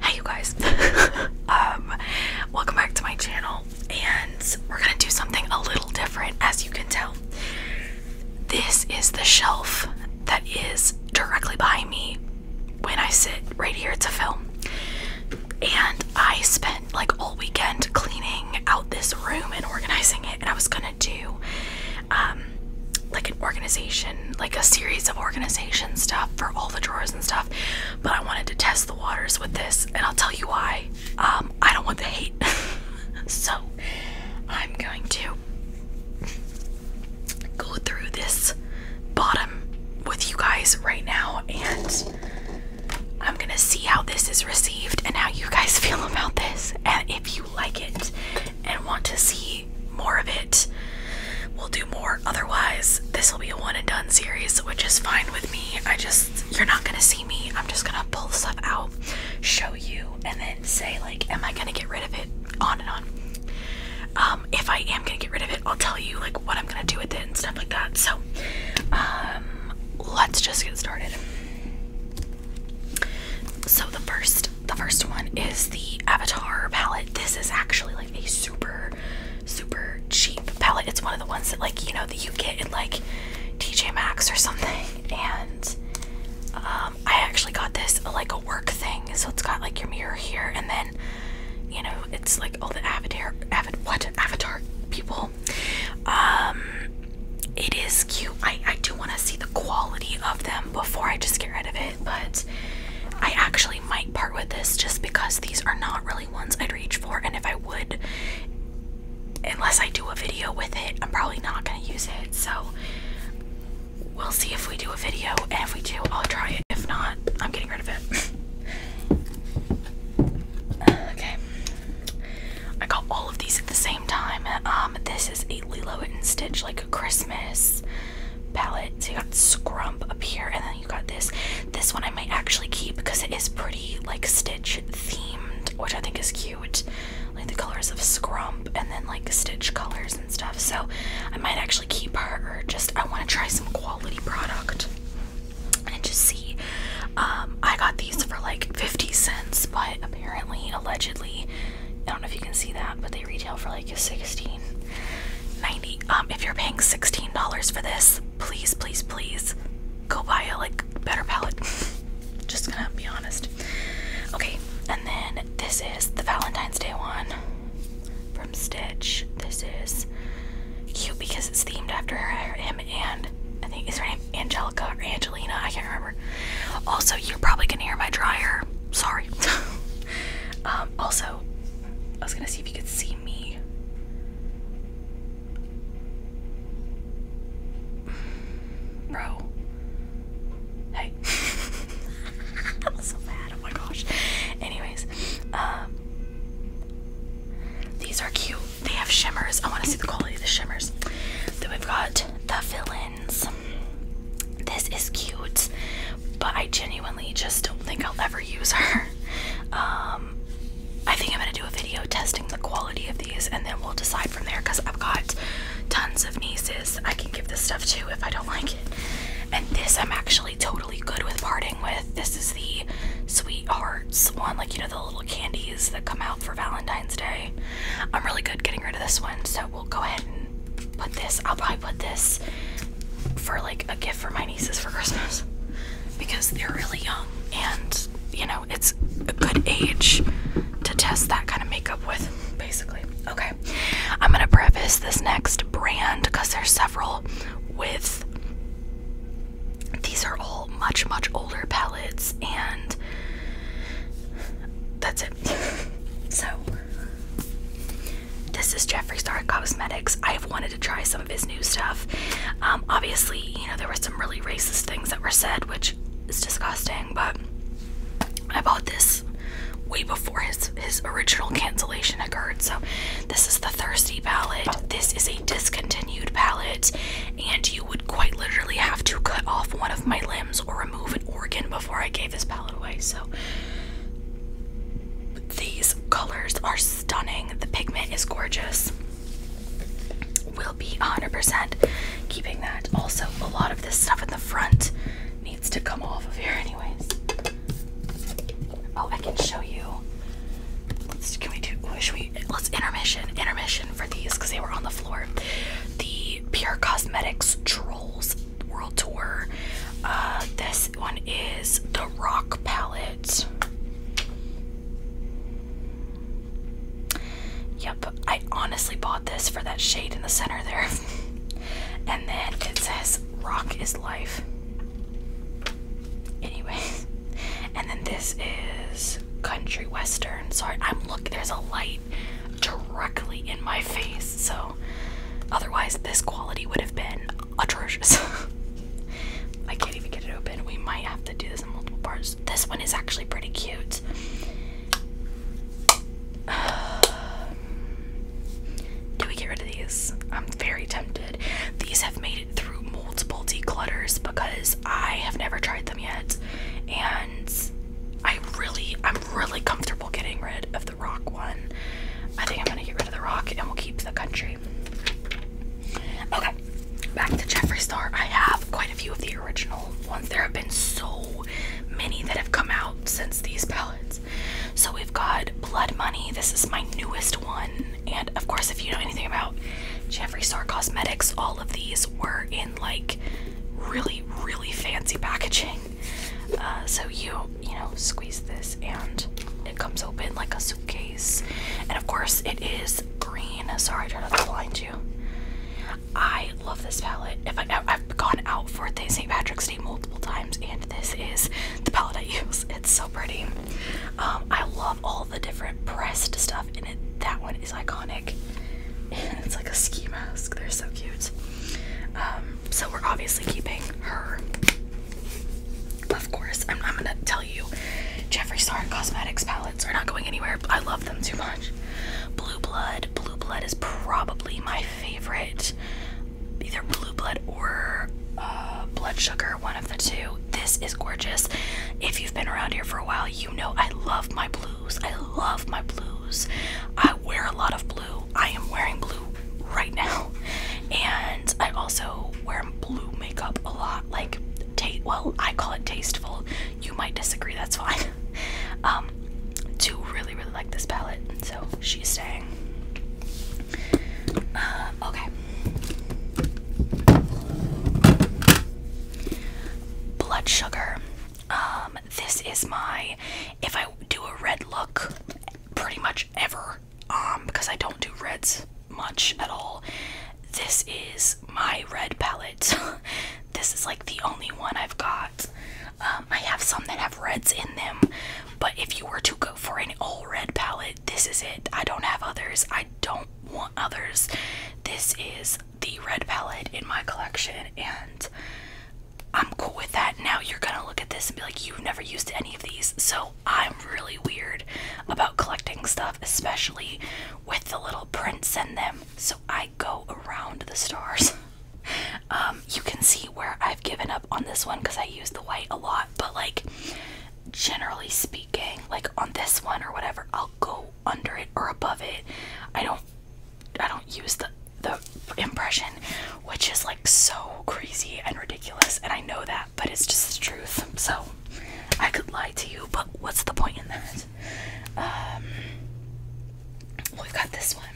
Hey you guys. um welcome back to my channel and we're going to do something a little different as you can tell. This is the shelf that is directly behind me when I sit right here to film. And I spent like all weekend cleaning out this room and organizing it and I was going to do um like an organization like a series of organization stuff for all the drawers and stuff, but I wanted to test the waters with this, and I'll tell you why. Um, I don't want the hate, so I'm going to go through this bottom with you guys right now, and I'm gonna see how this is received and how you guys feel about this, and if you like it and want to see more of it, we'll do more. Otherwise, this will be a one and done series, which is fine with me. I just, you're not gonna see me. I'm just gonna pull stuff out, show you, and then say, like, am I gonna get rid of it? On and on. Um, if I am gonna get rid of it, I'll tell you, like, what I'm gonna do with it and stuff like that. So, um, let's just get started. So the first the first one is the Avatar palette. This is actually like a super super, cheap palette. It's one of the ones that, like, you know, that you get in like TJ Max or something. And um, I actually got this like a work thing, so it's got like your mirror here, and then you know, it's like all the avatar, Avatar, what avatar people. Um, it is cute. I I do want to see the quality of them before I just get rid of it, but. I actually might part with this just because these are not really ones I'd reach for, and if I would, unless I do a video with it, I'm probably not gonna use it. So we'll see if we do a video, and if we do, I'll try it. If not, I'm getting rid of it. okay, I got all of these at the same time. Um, this is a Lilo and Stitch like a Christmas palette. So you got Scrump up here, and then you got this. This one I might actually keep because it is pretty like Stitch themed, which I think is cute. Like the colors of Scrump and then like Stitch colors and stuff. So I might actually keep her, or just I want to try some quality product and just see. Um, I got these for like 50 cents, but apparently, allegedly, I don't know if you can see that, but retail for like 16 dollars 90 um if you're paying $16 for this please please please go buy a like better palette just gonna be honest okay and then this is the valentine's day one from stitch this is cute because it's themed after her, him and i think is her name angelica or angelina i can't remember also you're probably gonna hear my dryer sorry um also I was gonna see if you could see me. Bro. Hey. that was so bad. Oh my gosh. Anyways, um these are cute. They have shimmers. I want to see the quality of the shimmers. Then we've got the villains. This is cute but I genuinely just don't think I'll ever use her. Um, I think I'm gonna do a video testing the quality of these and then we'll decide from there because I've got tons of nieces I can give this stuff to if I don't like it. And this I'm actually totally good with parting with. This is the Sweethearts one, like you know, the little candies that come out for Valentine's Day. I'm really good getting rid of this one, so we'll go ahead and put this. I'll probably put this for like a gift for my nieces for Christmas because they're really young and you know it's a good age to test that kind of makeup with basically. Okay. I'm going to preface this next brand cuz there's several with these are all much much older palettes and that's it. so this is Jeffree Star Cosmetics. I've wanted to try some of his new stuff. Um, obviously, you know, there were some really racist things that were said, which is disgusting, but I bought this way before his his original cancellation occurred. So this is the Thirsty palette. This is a discontinued palette, and you would quite literally have to cut off one of my limbs or remove an organ before I gave this palette away. So these colors are stunning. The pigment is gorgeous. Will be 100% keeping that. Also, a lot of this stuff in the front needs to come off of here, anyways. Oh, I can show you. can we do? Should we? Let's intermission, intermission for these because they were on the floor. The Pure Cosmetics Trolls world tour. Uh, this one is the Rock Palette. Yep, I honestly bought this for that shade in the center there. and then it says Rock is Life. Anyways, and then this is Country Western. Sorry, I'm look. There's a light directly in my face, so otherwise this quality would have been atrocious. I can't even get it open. We might have to do this in multiple parts. This one is actually pretty cute. do we get rid of these? I'm very tempted. These have made it through multiple declutters because I have never tried them yet. And I really, I'm really comfortable getting rid of them the rock one. I think I'm gonna get rid of the rock and we'll keep the country. Okay, back to Jeffree Star. I have quite a few of the original ones. There have been so many that have come out since these palettes. So we've got Blood Money. This is my newest one. And of course, if you know anything about Jeffree Star Cosmetics, all of these were in like really, really fancy packaging. Uh, so you you know squeeze this and it comes open like a suitcase, and of course it is green. Sorry, I tried not to blind you. I love this palette. If I, I've gone out for the St. Patrick's Day multiple times, and this is the palette I use. It's so pretty. Um, I love all the different pressed stuff in it. That one is iconic. it's like a ski mask. They're so cute. Um, so we're obviously keeping her. Of course, I'm, I'm gonna tell you, Jeffree Star Cosmetics palettes are not going anywhere. I love them too much. Blue Blood, Blue Blood is probably my favorite. Either Blue Blood or uh, Blood Sugar, one of the two. This is gorgeous. If you've been around here for a while, you know I love my blues. I love my blues. I wear a lot of blue. I am wearing blue right now. And I also wear blue makeup a lot. Like, taste. well, I call it tasteful. You might disagree, that's fine. um, do really, really like this palette. So she's staying. Uh, okay. Blood sugar. Um, this is my if I do a red look pretty much ever um, because I don't do reds much at all. This is my red palette. this is like the only one I've got. Um, I have some that have reds in them, but if you were to go for an all red palette, this is it. I don't have others. I don't want others. This is the red palette in my collection, and I'm cool with that. Now you're gonna look at this and be like, you've never used any of these, so I'm really weird about collecting stuff, especially with the little prints in them. So I go around the stars. Um, you can see where I've given up on this one because I use the white a lot, but like generally speaking, like on this one or whatever, I'll go under it or above it. I don't I don't use the the impression which is like so crazy and ridiculous. And I know that, but it's just the truth. So I could lie to you, but what's the point in that? Um, we've got this one.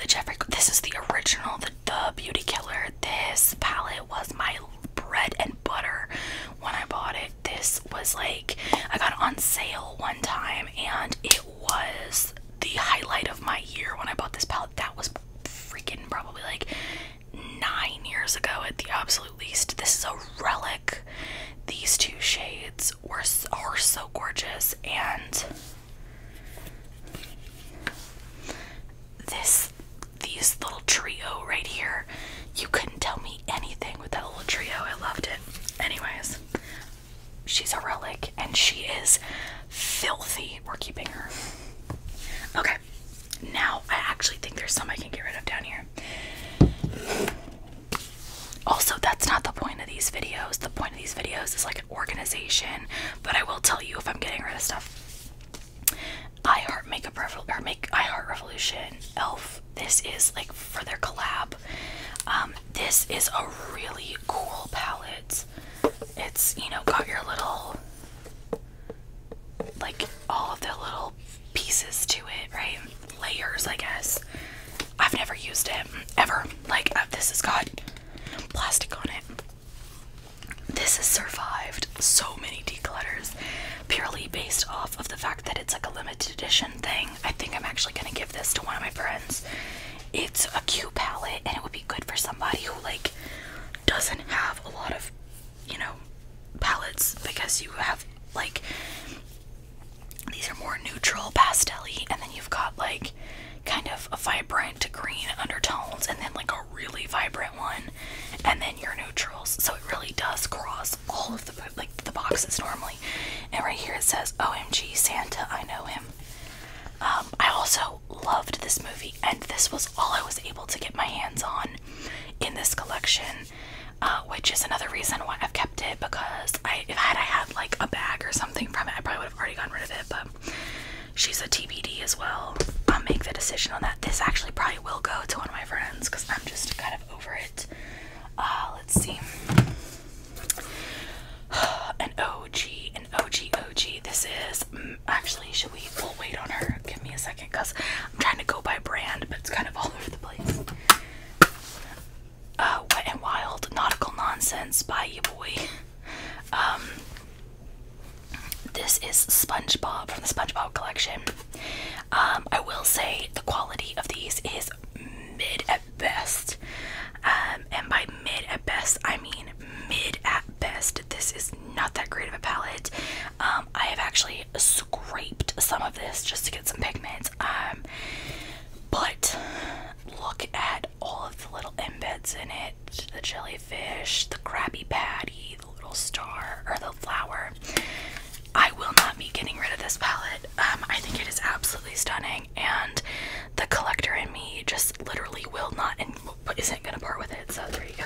The Jeffrey. This is the original. The the Beauty Killer. This palette was my bread and butter when I bought it. This was like I got it on sale one time, and it was the highlight of my year when I bought this palette. That was freaking probably like nine years ago at the absolute least. This is a relic. These two shades were are so gorgeous, and this these little trio right here. You couldn't tell me anything with that little trio. I loved it. Anyways, she's a relic, and she is filthy. We're keeping her. Okay, now I actually think there's some I can get rid of down here. Also, that's not the point of these videos. The point of these videos is like an organization, but I will tell you if I'm getting rid of stuff. I Heart Makeup Revolution, or Make I Heart Revolution, Elf. This is like for their collab. Um, this is a really cool palette it's you know got your little like all of the little pieces to it, right? Layers, I guess. I've never used it ever. Like uh, this has got plastic on it. This has survived so many declutters purely based off of the fact that it's like a limited edition thing. I think I'm actually gonna give this to one of my friends. It's a cute palette and it would be good for somebody who like doesn't have a lot of, you know, palettes because you have like these are more neutral pastelly and then you've got like kind of a vibrant green undertones and then like a really vibrant one and then your neutrals. So it really does cross all of the like the boxes normally. And right here it says OMG Santa, I know him. Um, I also loved this movie, and this was all I was able to get my hands on in this collection, uh, which is another reason why I've kept it because if I, had I had like a bag or something from it, I probably would have already gotten rid of it. But she's a TBD as well. I'll make the decision on that. This actually probably will go to one of my friends because I'm just kind of over it. Uh, let's see. An OG OG OG. This is mm, actually, should we? wait on her. Give me a second because I'm trying to go by brand, but it's kind of all over the place. Uh, Wet and Wild Nautical Nonsense by you boy. Um, this is SpongeBob from the SpongeBob collection. Um, I will say the quality of these is mid at best. Um, and by mid at best, I mean mid at best this is not that great of a palette. Um, I have actually scraped some of this just to get some pigments. Um, but look at all of the little embeds in it: the jellyfish, the Krabby Patty, the little star, or the flower. I will not be getting rid of this palette. Um, I think it is absolutely stunning, and the collector in me just literally will not but isn't gonna part with it, so there you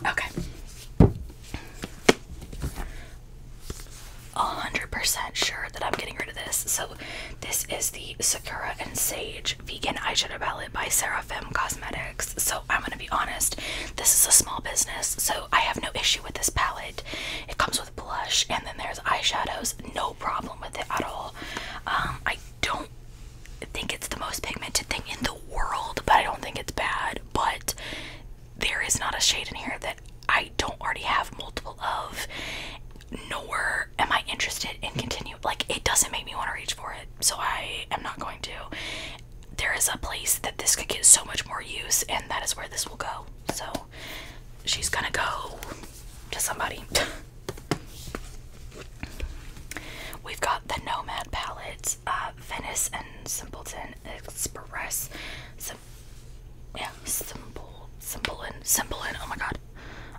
go. Okay. 100% sure that I'm getting rid of this. So, this is the Sakura and Sage Vegan Eyeshadow Palette by Seraphim Cosmetics. So, I'm going to be honest, this is a small business, so I have no issue with this palette. It comes with blush and then there's eyeshadows, no problem with it at all. Um, I I don't think it's the most pigmented thing in the world, but I don't think it's bad. But there is not a shade in here that I don't already have multiple of, nor am I interested in continuing. Like it doesn't make me want to reach for it, so I am not going to. There is a place that this could get so much more use, and that is where this will go. So she's gonna go to somebody. We've got the Nomad palette, uh, Venice and Simpleton Express. Sim yeah, simple, simple and simple and oh my god,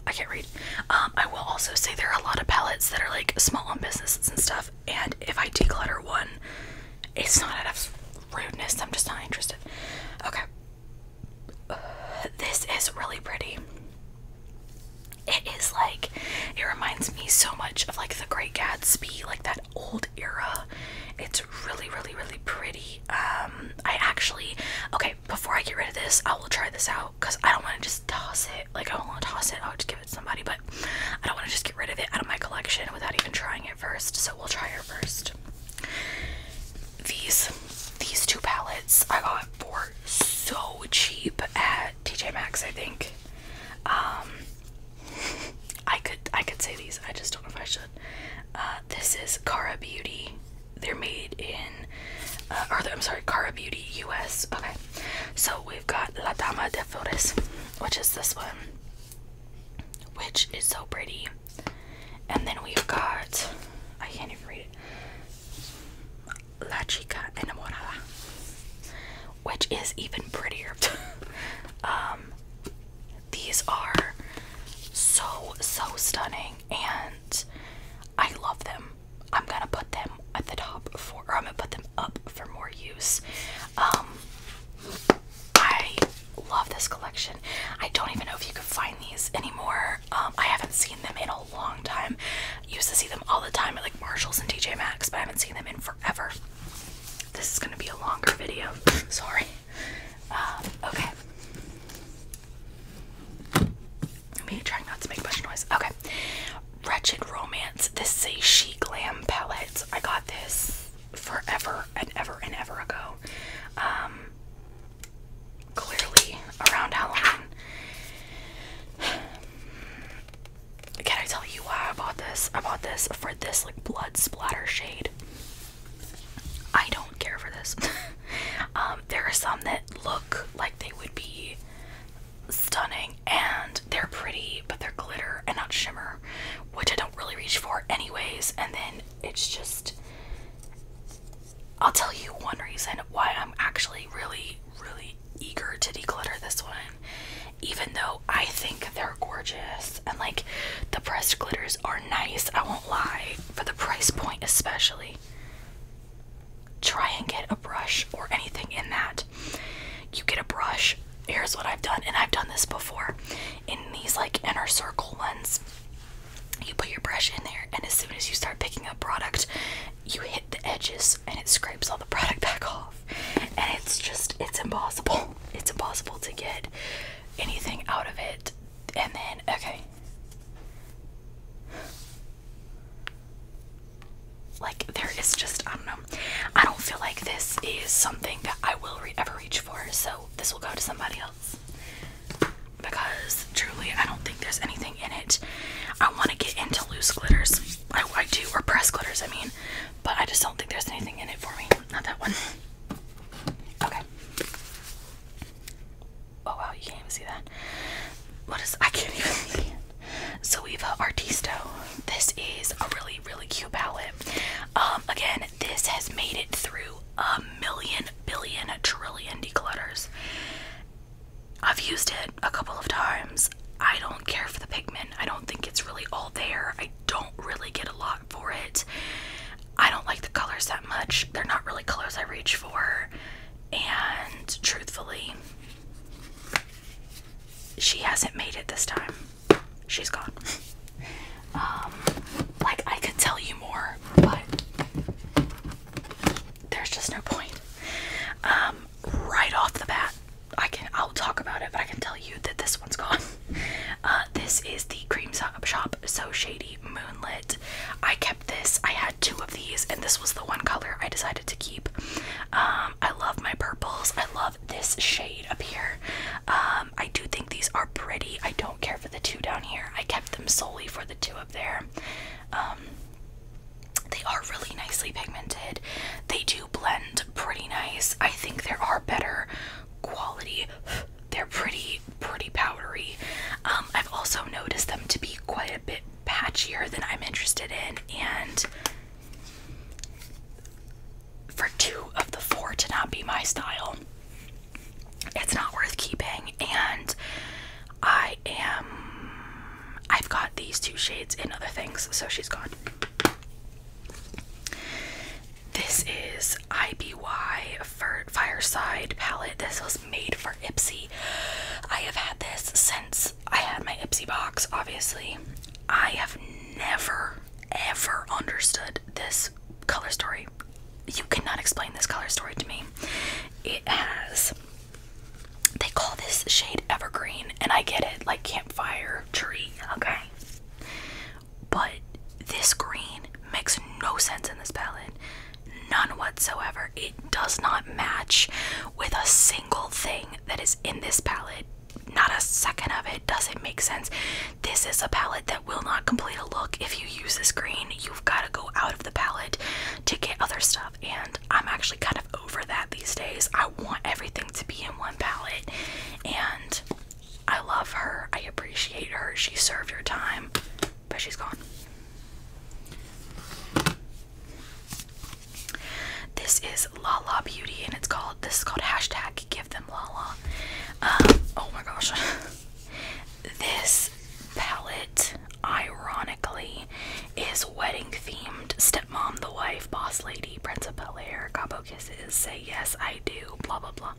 I can't read. Um, I will also say there are a lot of palettes that are like small on businesses and stuff. And if I declutter one, it's not enough rudeness. I'm just not interested. Okay, this is really pretty. It is like it reminds me so much of like the Great Gatsby, like that old era. It's really, really, really pretty. Um, I actually okay. Before I get rid of this, I will try this out because I don't want to just toss it. Like I don't want to toss it. I'll just give it to somebody, but I don't want to just get rid of it out of my collection without even trying it first. So we'll try it first. These these two palettes I got for so cheap at TJ Maxx, I think. Um, I could I could say these, I just don't know if I should. Uh, this is Cara Beauty. They're made in uh, or I'm sorry, Cara Beauty US. Okay. So we've got La Dama de Flores, which is this one. Which is so pretty. And then we've got I can't even read it. La Chica Enamorada, which is even prettier. Um, these are so, so stunning, and I love them. I'm gonna put them at the top for, or I'm gonna put them up for more use. Um, I love this collection. I don't even know if you can find these anymore um, I haven't seen them in a long time. Used to see them all the time at like Marshalls and TJ Maxx, but I haven't seen them in forever. This is gonna be a longer video. Sorry. Um, okay. Me trying not to make much noise. Okay. Wretched Romance. This is a She Glam palette. I got this forever and ever and ever ago. Um, clearly around Halloween. Can I tell you why I bought this? I bought this for this like blood splatter shade. I don't care for this. Um, there are some that look like they would be stunning and they're pretty, but they're glitter and not shimmer, which I don't really reach for anyways. And then it's just I'll tell you one reason why I'm actually really, really eager to declutter this one. Even though I think they're gorgeous and like the pressed glitters are nice, I won't lie, for the price point especially. Try and get a brush or anything in that. You get a brush. Here's what I've done, and I've done this before in these like inner circle ones you put your brush in there, and as soon as you start picking up product, you hit the edges and it scrapes all the product back off. And it's just, it's impossible. It's impossible to get anything out of it. And then, okay. Like, there is just, I don't know. I don't feel like this is something that I will ever reach for, so this will go to somebody else because truly I don't think there's anything in it. I want to get into loose glitters. I, do, or press glitters, I mean, but I just don't think there's anything in it for me. Not that one. Okay. Oh wow, you can't even see that. What is I can't even see it. Artisto. This is a really, really cute palette. Um, again, this has made it through a million, billion, trillion declutters. I've used it a couple of times. I don't care for the pigment. I don't think it's really all there. I don't really get a lot for it. I don't like the colors that much. They're not really colors I reach for. And truthfully, she hasn't made it this time. She's gone. Um, like I could tell you more, but there's just no point. Um, right off the bat, I can I'll talk about it, but I can tell you that this one's gone. Uh, this is the Cream Shop So Shady Moonlit. I kept this. I had two of these, and this was the one color I decided to keep. Um, I love my purples. I love this shade up here. Um, I do think these are pretty. I don't care for the two down here. I kept them solely for the two there. Um, they are really nicely pigmented. They do blend pretty nice. I think there are better quality. They're pretty, pretty powdery. Um, I've also noticed them to be quite a bit patchier than I'm interested in, and for two of the four to not be my style, it's not worth keeping and I am I've got these two shades and other things so she's gone. This is IBY for Fireside palette. This was made for Ipsy. I have had this since I had my Ipsy box obviously. I have never ever understood this color story you cannot explain this color story to me. It has they call this shade evergreen, and I get it, like campfire tree, okay? But this green makes no sense in this palette. None whatsoever. It does not match with a single thing that is in this palette. Not a second of it doesn't make sense. This is a palette that will not complete a look if you use this green. You've got to go out of the palette to get other stuff, and I'm actually kind of over that these days. I want everything to be in one palette, and I love her. I appreciate her. She served her time, but she's gone. This is La La Beauty, and it's called. This is called hashtag Give Them La La. Um, oh my gosh. This palette, ironically, is wedding themed. Stepmom, the wife, boss lady, Prince of Bel Air, Cabo Kisses, Say Yes, I Do, blah blah blah.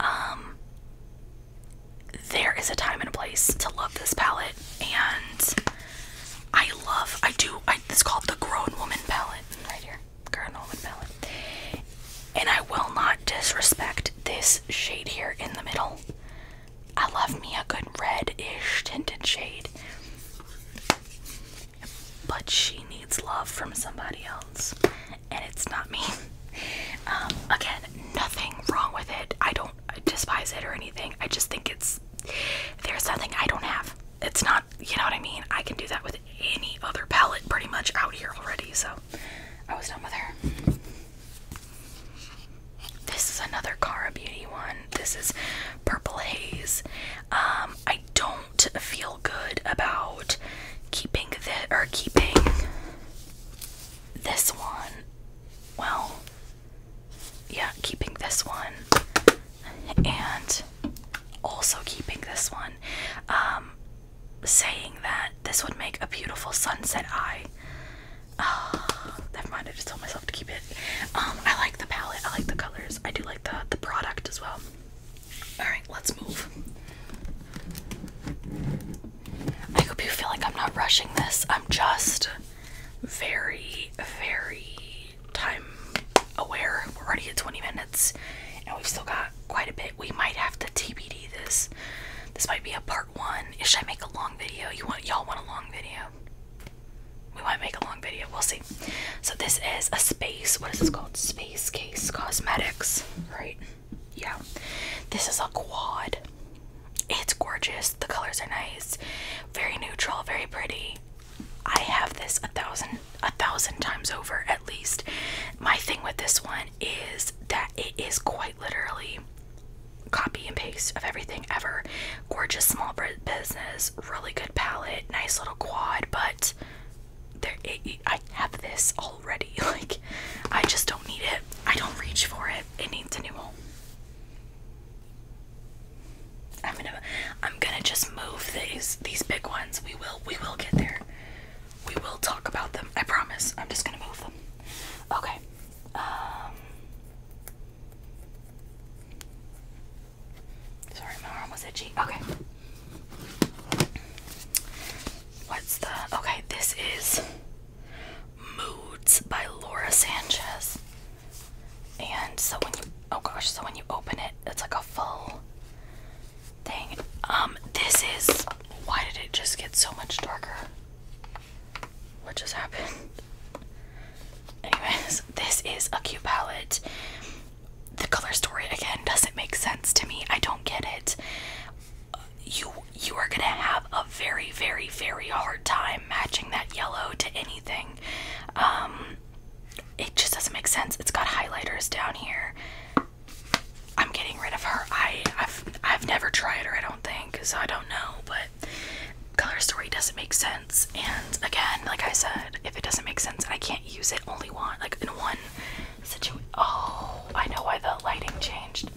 Um, there is a time and a place to love this palette, and I love. I do. I, it's called the Grown Woman palette, right here, Grown Woman palette. And I will not disrespect this shade here in the middle. I love me a good red-ish tinted shade. But she needs love from somebody else, and it's not me. Um, again, nothing wrong with it. I don't despise it or anything. I just think it's there's nothing I don't have. It's not, you know what I mean? I can do that with any other palette pretty much out here already, so I was done with her. This is another Cara Beauty one. This is Purple Haze. Um, I don't feel good about keeping the or keeping this one. Well, yeah, keeping this one and also keeping this one. Um, saying that this would make a beautiful sunset eye. Uh, never mind. I just told myself to keep it. Um, I like the palette. I like the colors. I do like the the product as well. All right, let's move. I hope you feel like I'm not rushing this. I'm just very, very time aware. We're already at 20 minutes, and we've still got quite a bit. We might have to TBD this. This might be a part one. Should I make a video? You want y'all want a long video? We might make a long video. We'll see. So this is a space. What is this called? Space Case Cosmetics, right? Yeah. This is a quad. It's gorgeous. The colors are nice. Very neutral. Very pretty. I have this a thousand, a thousand times over at least. My thing with this one is that it is quite literally copy and paste of everything ever. Gorgeous small business, really good palette, nice little quad, but there I have this already. Like I just don't need it. I don't reach for it. It needs a new home. I'm gonna I'm gonna just move these these big ones. We will we will get there. We will talk about them. I promise. I'm just gonna move them. Okay. Um, sorry, my arm was itchy. Okay. What's the. Okay, this is Moods by Laura Sanchez. And so when you. Oh gosh, so when you open it, it's like a full thing. Um, this is. Why did it just get so much darker? What just happened? Anyways, this is a cute palette. The color story again doesn't make sense to me. I don't get it. You you are gonna have a very very very hard time matching that yellow to anything. Um, it just doesn't make sense. It's got highlighters down here. I'm getting rid of her. I I've I've never tried her at think, because I don't know, but color story doesn't make sense. And again, like I said, if it doesn't make sense, I can't use it only one, like in one situation. Oh, I know why the lighting changed.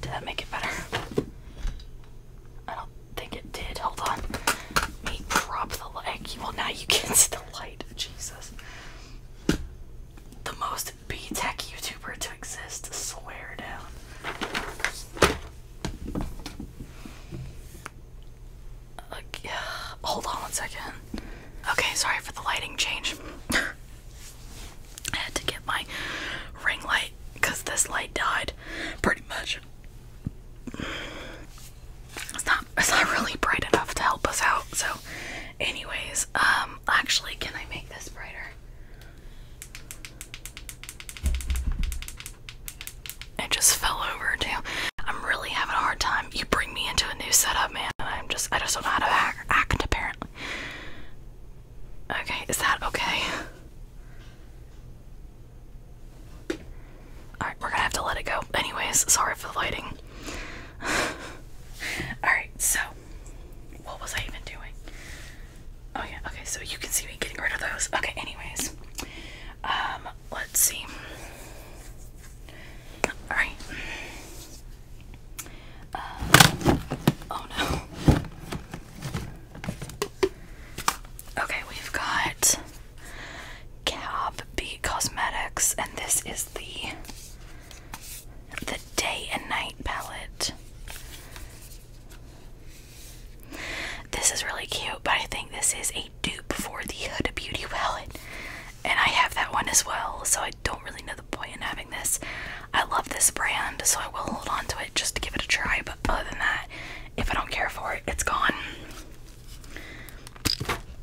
Did that make it better? I don't think it did. Hold on. Let me prop the light. Well, now you can't see the light. Jesus. The most be B tech YouTuber to exist. Swear down. Okay, hold on one second. Okay, sorry for the lighting change. I had to get my ring light because this light died, pretty much. It's not it's not really bright enough to help us out. So anyways, um actually can I make this brighter. It just fell over too. I'm really having a hard time. You bring me into a new setup, man, and I'm just I just don't know how to act apparently. Okay, is that okay? Alright, we're gonna have to let it go. Anyways, sorry for the lighting. Alright, so what was I even doing? Oh yeah, okay, so you can see me getting rid of those. Okay, anyways. Um, let's see. Alright. Uh, oh no. Okay, we've got Cab Cosmetics, and this is the the Day and Night palette. This is really cute, but I think this is a dupe for the Huda Beauty palette. And I have that one as well, so I don't really know the point in having this. I love this brand, so I will hold on to it just to give it a try, but other than that, if I don't care for it, it's gone.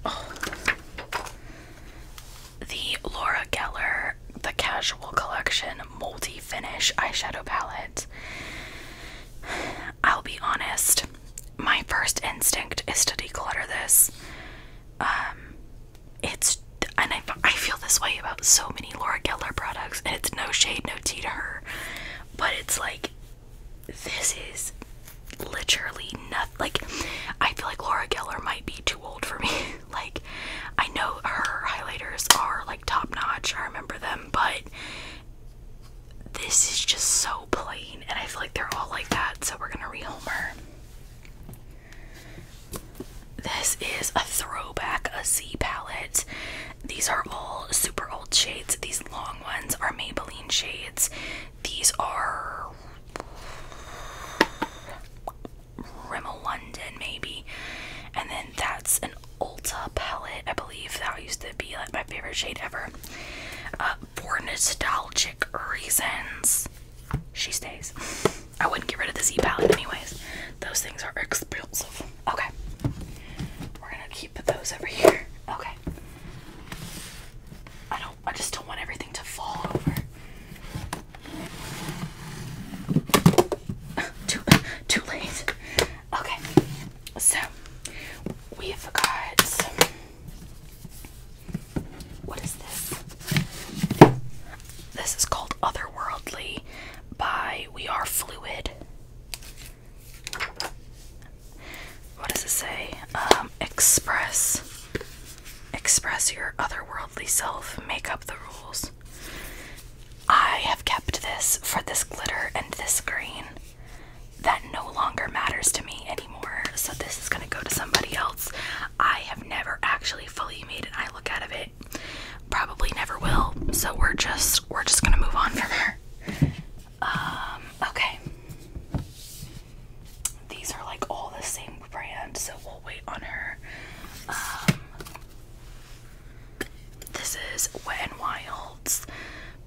Oh the Laura Geller The Casual Collection Multi Finish Eyeshadow Palette. I'll be honest, my first instinct is to declutter this. Um, it's and I, I feel this way about so many Laura Geller products, and it's no shade, no tea to her, but it's like this is literally nothing. Like, I feel like Laura Geller might be too old for me. like, I know her highlighters are like top notch, I remember them, but this is just so plain, and I feel like they're all like that, so we're gonna rehome her. This is a throwback, a Z palette. These are all super old shades. These long ones are Maybelline shades. These are Rimmel London maybe. And then that's an Ulta palette, I believe. That used to be like my favorite shade ever. Uh, for nostalgic reasons, she stays. I wouldn't get rid of the Z palette anyways. Those things are expensive. Okay. We're gonna keep those over here. Okay. I don't I just don't want everything to fall over too, too late. Okay, so we've got some, what is this? This is called Otherworldly by We Are Fluid. What does it say? Um, express Express your otherworldly self, make up the rules. I have kept this for this glitter and this green. That no longer matters to me anymore, so this is gonna go to somebody else. I have never actually fully made an eye look out of it. Probably never will. So we're just we're just gonna move on from her. Um, okay. These are like all the same brand, so we'll wait on her. Um, this is Wet n Wild's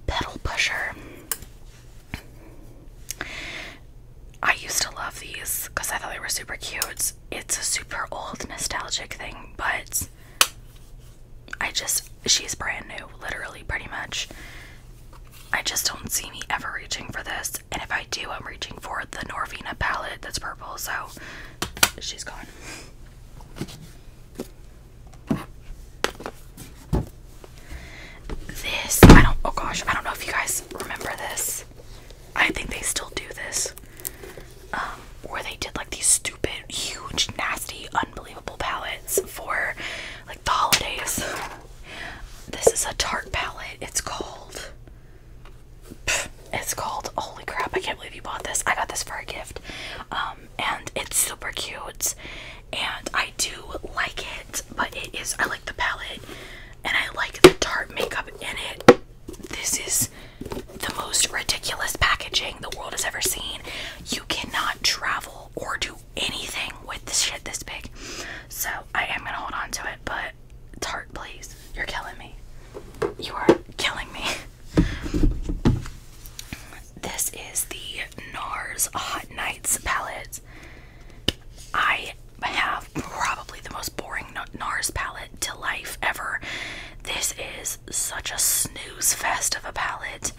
Pedal Pusher. I used to love these because I thought they were super cute. It's a super old nostalgic thing, but I just, she's brand new, literally, pretty much. I just don't see me ever reaching for this and if I do, I'm reaching for the Norvina palette that's purple, so she's gone. This, I don't, oh gosh, I don't know if you guys remember this. I think they still do this. Um, where they did like these stupid, huge, nasty, unbelievable palettes for like the holidays. This is a tart palette. It's called it's called Holy Crap, I can't believe you bought this. I got this for a gift. Um, and it's super cute. And I do like it, but it is I like the palette and I like the tart makeup in it. This is the most ridiculous packaging the world has ever seen. You cannot travel or do anything with this shit this big. So I am gonna hold on to it, but Tart, please. You're killing me. You are killing me. This is the NARS Hot Nights palette. I have probably the most boring NARS palette to life ever. This is such a snooze fest of a palette,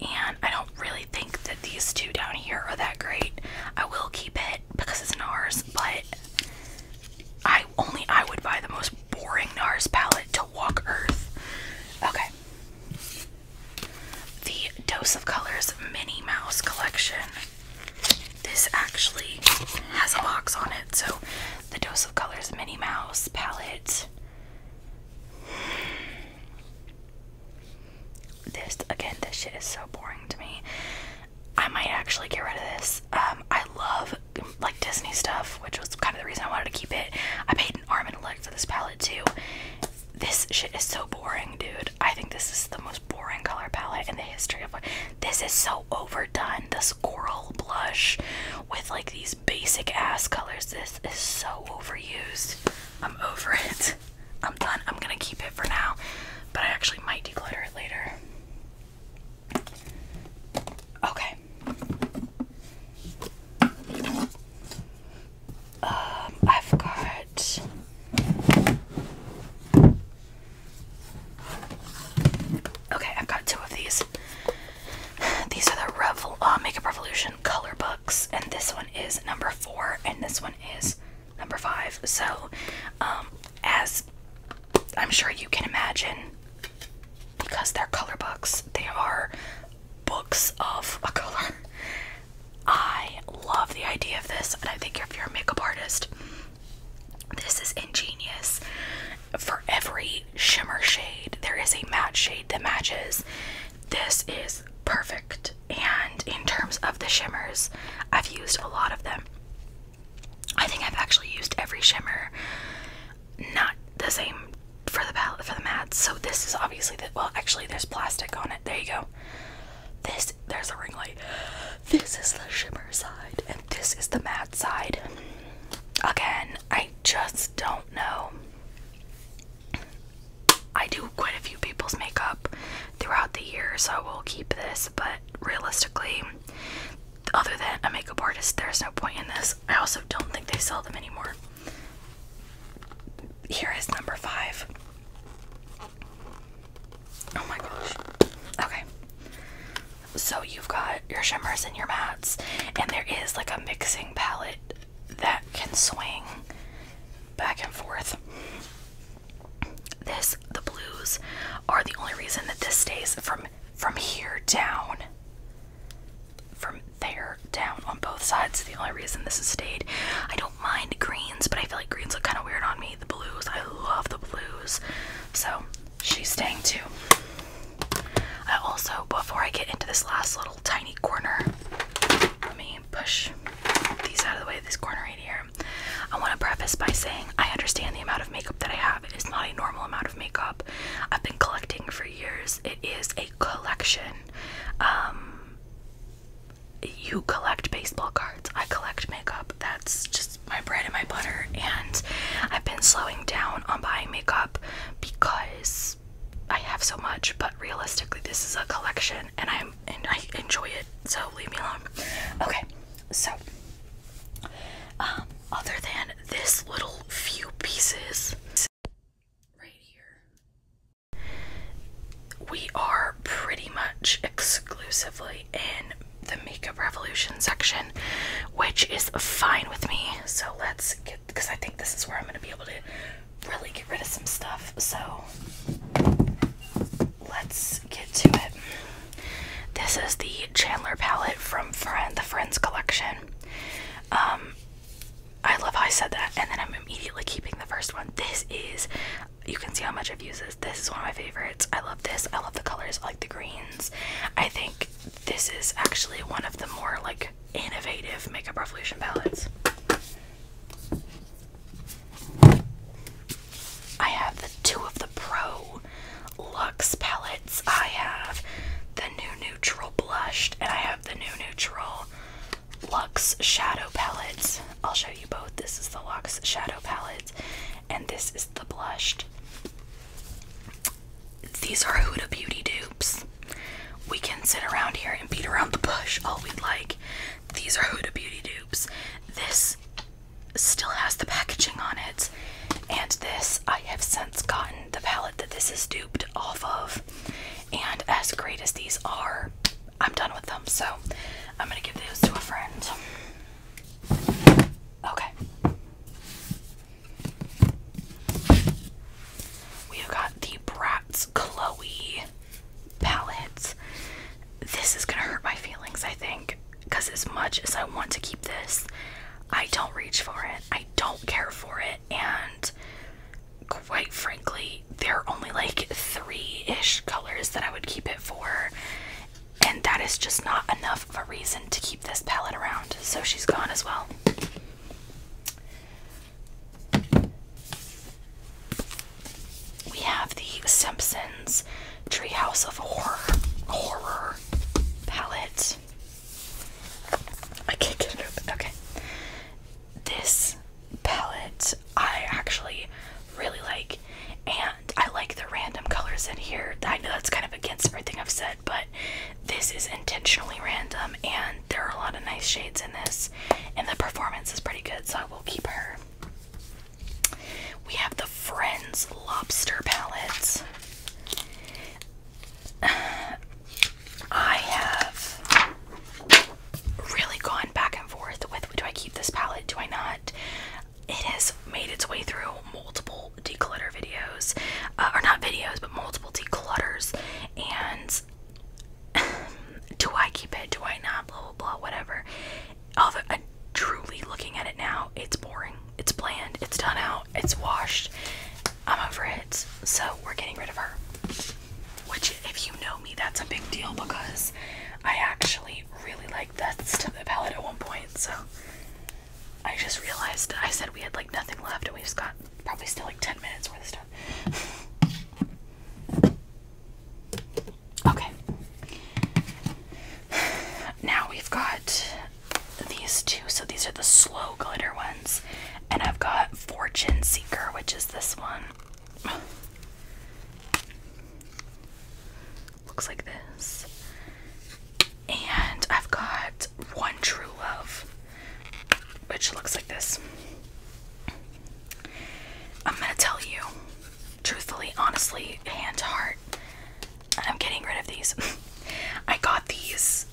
and I don't really think that these two down here are that great. I will keep it because it's NARS, but I only I would buy the most boring NARS palette to walk Earth. Okay. The Dose of Colors Minnie Mouse collection. This actually has a box on it, so the Dose of Colors Minnie Mouse palette. This again, this shit is so boring to me. I might actually get rid of this. Um, I love like Disney stuff, which was kind of the reason I wanted to keep it. I paid an arm and a leg for this palette too. This shit is so boring, dude. I think this is the most boring color palette in the history of. This is so overdone. This coral blush with like these basic ass colors. This is so overused. I'm over it. I'm done. I'm gonna keep it for now but I actually might declutter it later. Okay. Um, I've got Okay, I've got two of these. These are the uh, Makeup Revolution color books, and this one is number four, and this one is number five. So, um, as I'm sure you can imagine, because they're color books, they are books of a color. I love the idea of this, and I think if you're a makeup artist, this is ingenious. For every shimmer shade, there is a matte shade that matches. This is perfect, and in terms of the shimmers, I've used a lot of them. I think I've actually used every shimmer, not the same for the palette for the matte. So this is obviously the well, actually there's plastic on it. There you go. This there's a ring light. This is the shimmer side, and this is the matte side. Again, I just don't know. I do quite a few people's makeup throughout the year, so we will keep this, but realistically, other than a makeup artist, there's no point in this. I also don't think they sell them anymore. Here is number five. Oh my gosh. Okay. So you've got your shimmers and your mattes, and there is like a mixing palette that can swing back and forth. This the blues are the only reason that this stays from from here down. From there down on both sides, the only reason this has stayed. I don't mind greens, but I feel like greens look kind of weird on me. The blues, I love the blues. So she's staying too. I also, before I get into this last little tiny corner, let me push these out of the way, this corner right here. I want to preface by saying I understand the amount of makeup that I have is not a normal amount of makeup. I've been collecting for years. It is a collection. Um, you collect baseball cards. I collect makeup. That's just my bread and my butter. And I've been slowing down on buying makeup because I have so much. But realistically, this is a collection, and I'm and I enjoy it. So leave me alone. Okay. So, um, other than this little few pieces right here, we are pretty much exclusively in the makeup revolution section, which is fine with me. So let's get because I think this is where I'm gonna be able to really get rid of some stuff. So let's get to it. This is the Chandler palette from Friend, the Friends collection. Um, I love how I said that, and then I'm immediately keeping the first one. This is, you can see how much I've used this. This is one of my favorites. I love this. I love the colors. like the greens. I think this is actually one of the more like innovative makeup revolution palettes. I have the two of the Pro Lux palettes. I have the new neutral blushed, and I have the new neutral Lux shadow palettes. I'll show you both. This is the Lux shadow palette, and this is the blushed. These are Huda Beauty dupes. We can sit around here and beat around the bush all we'd like. These are Huda Beauty dupes. This still has the packaging on it. And this, I have since gotten the palette that this is duped off of. And as great as these are, I'm done with them. So I'm going to give those to a friend. Okay. We have got the Bratz Chloe palette. This is going to hurt my feelings, I think because as much as I want to keep this, I don't reach for it. I don't care for it. And quite frankly, there are only like three ish colors that I would keep it for. And that is just not enough of a reason to keep this palette around. So she's gone as well we have the Simpsons Treehouse of Horror horror palette. I can't get it open. Okay. This palette I actually really like and I like the random colors in here. I know that's kind of against everything I've said, but this is intentionally random and there are a lot of nice shades in this and the performance is pretty good, so I will keep her. We have the Friends Lobster Palettes. I have really gone back and forth with do I keep this palette, do I not? It has made its way through multiple declutter videos, uh, or not videos, but multiple declutters. And do I keep it? Do I not? Blah blah blah. Whatever. Although, I'm truly looking at it now, it's boring. It's bland. It's done out. It's washed. I'm over it. So we're getting rid of her. Which, if you know me, that's a big deal because I actually really liked that the palette at one point. So I just realized I said we had like nothing left and we've got probably still like 10 minutes worth of stuff. Okay. Now we've got these two. So these are the slow glitter ones. And I've got Fortune Seeker, which is this one. Looks like this. And I've got One True Love, which looks like this. I'm going to tell you truthfully, honestly, hand to heart. I'm getting rid of these. I got these,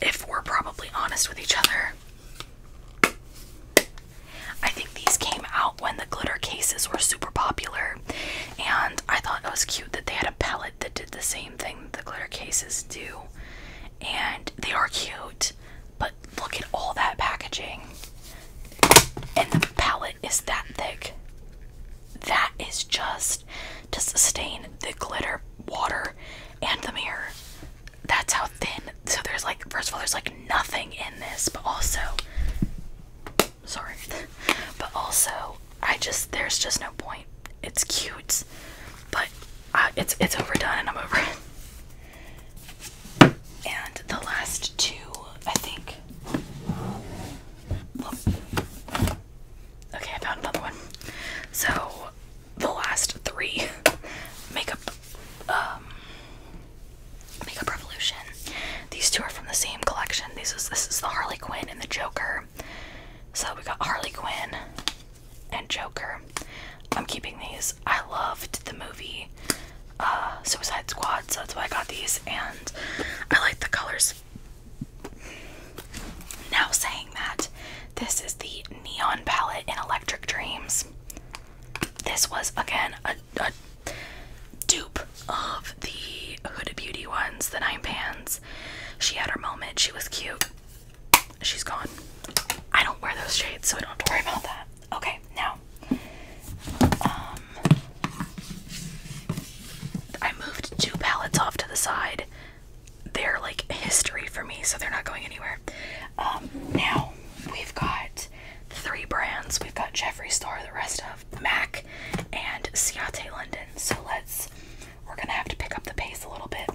if we're probably honest with each other. I think these came out when the glitter cases were super popular, and I thought it was cute that they had a pellet that did the same thing the glitter cases do. And they are cute, but look at all that packaging and the palette is that thick. That is just to sustain the glitter, water, and the mirror. That's how thin. So there's like, first of all, there's like nothing in this, but also, sorry, but also, I just there's just no point. It's cute, but uh, it's it's overdone, and I'm over it. And the last two, I think. Okay, I found another one. So, the last three makeup um Makeup Revolution. These two are from the same collection. This is this is the Harley Quinn and the Joker. So we got Harley Quinn and Joker. I'm keeping these. I loved the movie. Uh, Suicide Squad, so that's why I got these, and I like the colors. Now, saying that, this is the Neon palette in Electric Dreams. This was, again, a, dupe of the Hooded Beauty ones, the Nine Pans. She had her moment, she was cute. She's gone. I don't wear those shades, so I don't have to worry about that. Okay, now um, I moved two palettes off to the side. They're like history for me, so they're not going anywhere. Um, now we've got three brands. We've got Jeffree Star, the rest of MAC, and Ciate London. So let's we're gonna have to pick up the pace a little bit.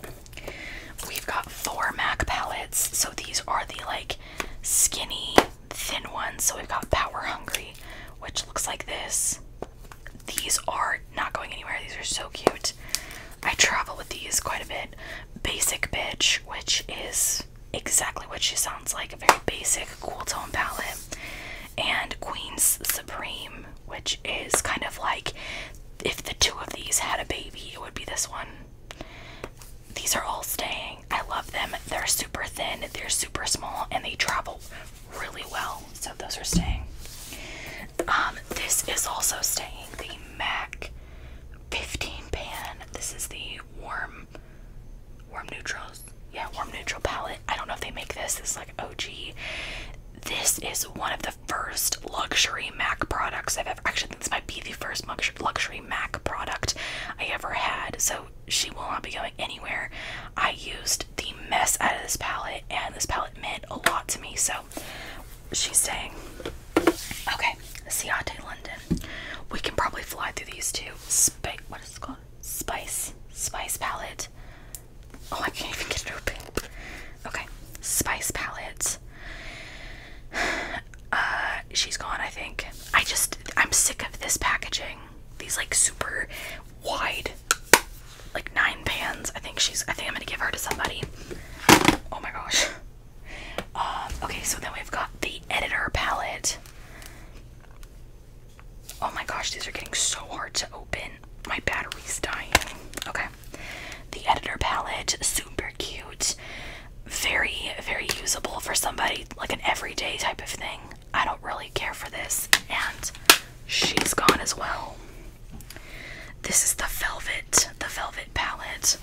We've got four MAC palettes. So these are the like skinny thin ones. So we've got Power Hungry, which looks like this. These are not going anywhere. These are so cute. I travel with these quite a bit. Basic Bitch, which is exactly what she sounds like a very basic, cool tone palette. And Queen's Supreme, which is kind of like if the two of these had a baby, it would be this one. These are all staying. I love them. They're super thin, they're super small, and they travel really well. So those are staying. Um, this is also staying the MAC 15 pan. This is the warm warm neutrals. Yeah, warm neutral palette. I don't know if they make this. This is like OG. This is one of the first luxury MAC products I've ever. Actually, this might be the first luxury MAC product I ever had. So she will not be going anywhere. I used the mess out of this palette, and this palette meant a lot to me. So she's saying, okay, Ciate London. We can probably fly through these two. spice. what is it called? Spice, Spice palette. Oh, I can't even get it open. Okay, Spice palette. Uh, she's gone, I think. I just, I'm sick of this packaging. These like super wide, like nine pans. I think she's. I think I'm gonna give her to somebody. Oh my gosh. Um, okay, so then we've got the editor palette. Oh my gosh, these are getting so hard to open. My battery's dying. Okay. The editor palette, super cute. Very, very usable for somebody, like an everyday type of thing. I don't really care for this, and she's gone as well. This is the velvet, the velvet palette.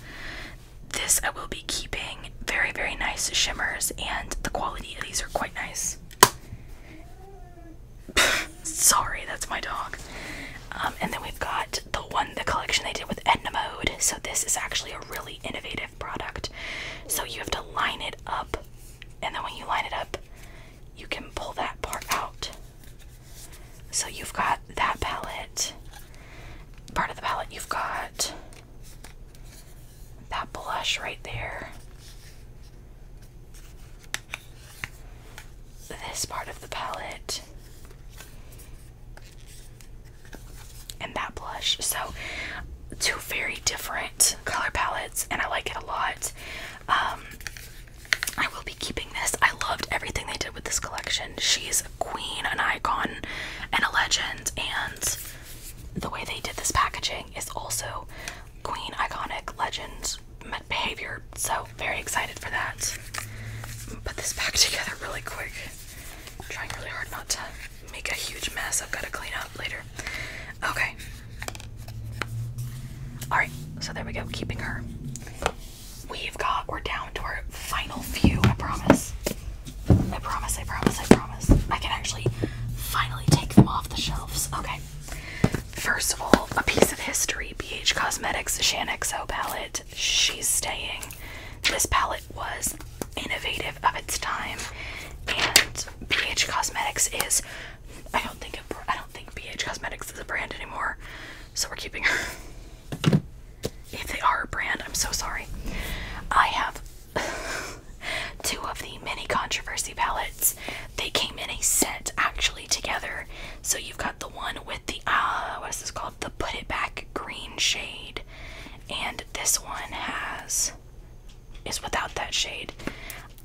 This I will be keeping. Very, very nice shimmers, and the quality of these are quite nice. Sorry, that's my dog. Um, and then we've got the one, the collection they did with Edna Mode. So this is actually a really innovative product. So you have to line it up, and then when you line it up, you can pull that part out. So you've got that palette, part of the palette, you've got that blush right there. This part of the palette, and that blush. So, two very different color palettes, and I like it a lot. Um, I will be keeping this. I loved everything they did with this collection. She's a queen, an icon, and a legend, and the way they did this packaging is also queen, iconic, legend behavior. So, very excited for that. Put this back together really quick. trying really hard not to make a huge mess I've got to clean up later. Okay. Alright, so there we go, keeping her. We've got, we're down to our final few, I promise. I promise, I promise, I promise. I can actually finally take them off the shelves. Okay. First of all, a piece of history BH Cosmetics Shanxo palette. She's staying. This palette was innovative of its time, and BH Cosmetics is. I don't think it, I don't think BH Cosmetics is a brand anymore, so we're keeping her. If they are a brand, I'm so sorry. I have two of the mini controversy palettes. They came in a set actually together. So you've got the one with the ah, what is this called? The put it back green shade, and this one has is without that shade.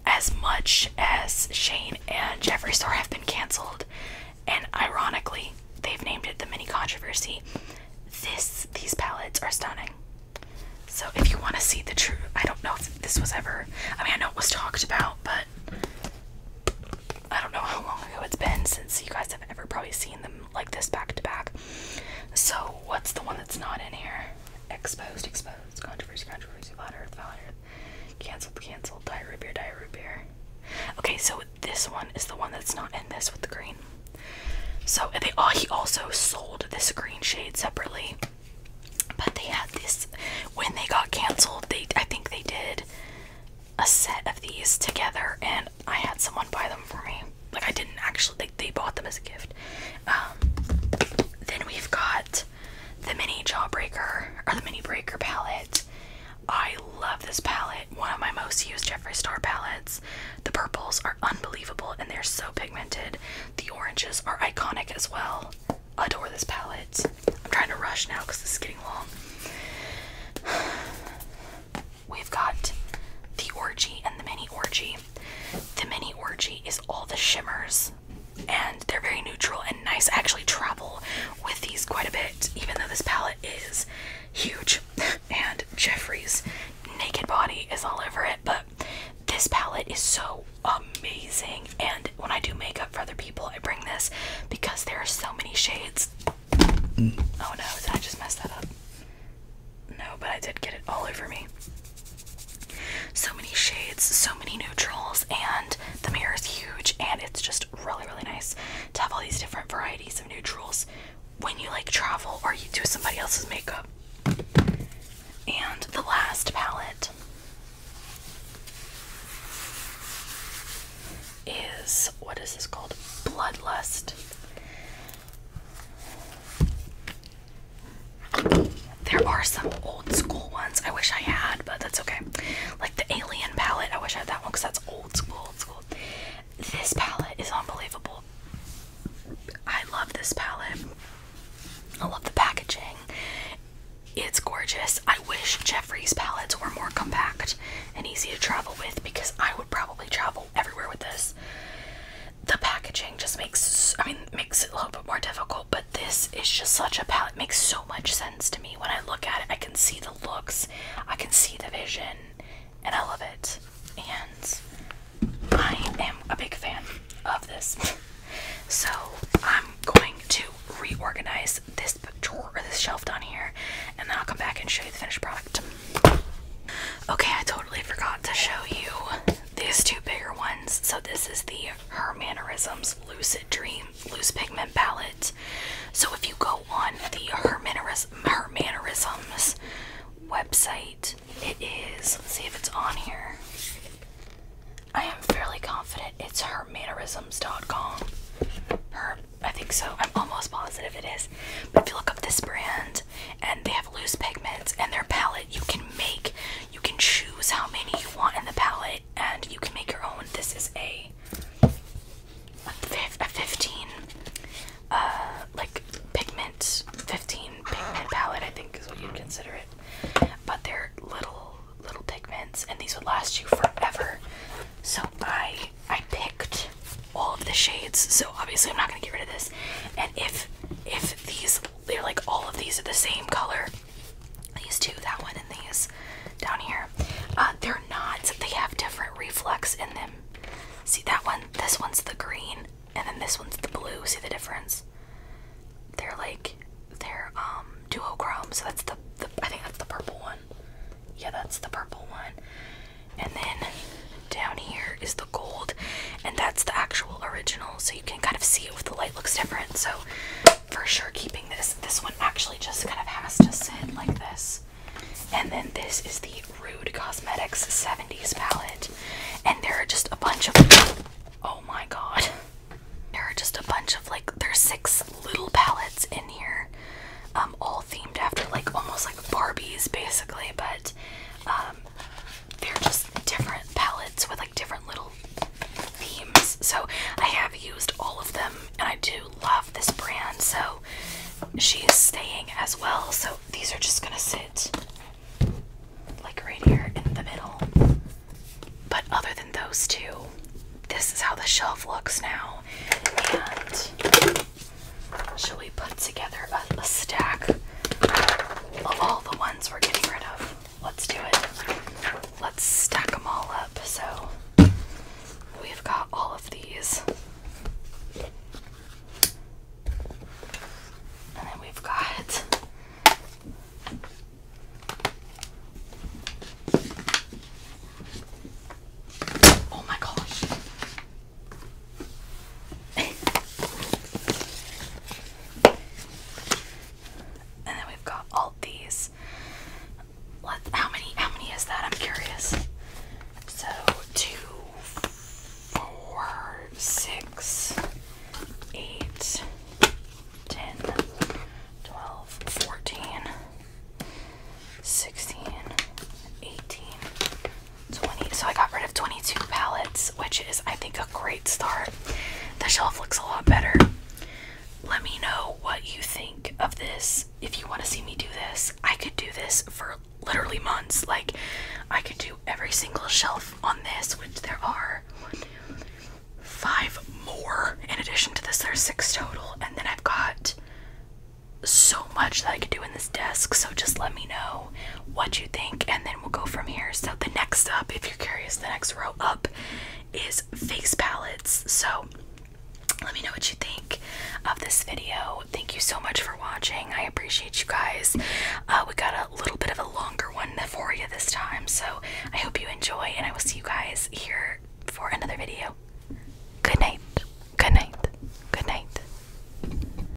As much as Shane and Jeffree Star have been canceled, and ironically, they've named it the mini controversy. This these palettes are stunning. So if you want to see the true, I don't know if this was ever. I mean, I know it was talked about, but I don't know how long ago it's been since you guys have ever probably seen them like this back to back. So what's the one that's not in here? Exposed, exposed, controversy, controversy, flat earth, flat canceled, canceled, diet root Okay, so this one is the one that's not in this with the green. So they all he also sold this green shade separately. But they had this when they got canceled, they I think they did a set of these together and I had someone buy them for me like I didn't actually like they bought them as a gift. Um, then we've got the mini jawbreaker or the mini breaker palette. I love this palette. One of my most used Jeffree Star palettes. The purples are unbelievable and they're so pigmented. The oranges are iconic as well. Adore this palette. I'm trying to rush now because this is getting long we've got the orgy and the mini orgy. The mini orgy is all the shimmers and they're very neutral and nice. I actually travel with these quite a bit, even though this palette is huge and Jeffrey's naked body is all over it. But this palette is so amazing. And when I do makeup for other people, I bring this because there are so many shades. Mm. Oh no, did I just mess that up? No, but I did get it all over me. So many shades, so many neutrals, and the mirror is huge, and it's just really, really nice to have all these different varieties of neutrals when you like travel or you do somebody else's makeup. And the last palette is what is this called? Bloodlust. There are some old school ones I wish I had, but that's okay. Like the Alien palette, I wish I had that one because that's old school, old school. This palette is unbelievable. I love this palette. I love the packaging. It's gorgeous. I wish Jeffree's palettes were more compact and easy to travel with because I would probably travel everywhere with this. The packaging just makes I mean makes it a little bit more difficult, but this is just such a palette. It makes so much sense to me. When I look at it, I can see the looks, I can see the vision, and I love it. And I am a big fan of this. so I'm going to reorganize this drawer or this shelf down here, and then I'll come back and show you the finished product. Okay, I totally forgot to show you these two bigger ones. So this is the Her Lucid Dream Loose Pigment Palette. So if you go on the Her, website, it is, let's see if it's on here. I am fairly confident it's hermannerisms.com. Her, I think so. I'm almost positive it is. But if you look up this brand, and they have loose pigments and their palette you can make you can choose how many you want in the palette and you can make your own this is a a, a 15 uh like pigment 15 pigment palette I think is what you'd consider it but they're little little pigments and these would last you forever so I I picked all of the shades so obviously I'm not gonna get rid of this and if if these they're like all of these are the same color these two that one and these down here uh, they're not they have different reflex in them see that one this one's the green and then this one's the blue see the difference they're like they're um duochrome so that's the i think that's the purple one yeah that's the purple one and then down here is the gold and that's the actual original so you can kind of see it with the light looks different so for sure keeping this this one actually just kind of has to sit like this and then this is the rude cosmetics 70s palette and there are just a bunch of oh my god there are just a bunch of like there's six little palettes in here um, all themed after like almost like barbies basically but um, they're just different palettes with like different little themes. So I have used all of them and I do love this brand. So she is staying as well. So these are just going to sit like right here in the middle. But other than those two, this is how the shelf looks now. And Shall we put together a, a stack of all the ones we're getting rid of? Let's do it. Let's stack them all up. So we've got all of these. And then we've got Oh my gosh. and then we've got all these. Let, how many? How many is that? I'm curious. So two, four, six, eight, ten, twelve, fourteen, sixteen, eighteen, 20 so I got rid of 22 palettes, which is I think a great start. The shelf looks a lot better. Let me know what you think of this. If you want to see me do this, I could do this for literally months. Like I could do every single shelf on this, which there are five more in addition to this. There's six total, and then I've got so much that I could do in this desk. So just let me know what you think, and then then we'll go from here. So the next up, if you're curious, the next row up is face palettes. So let me know what you think of this video. Thank you so much for watching. I appreciate you guys. Uh, we got a little bit of a longer one for you this time. So I hope you enjoy, and I will see you guys here for another video. Good night. Good night. Good night.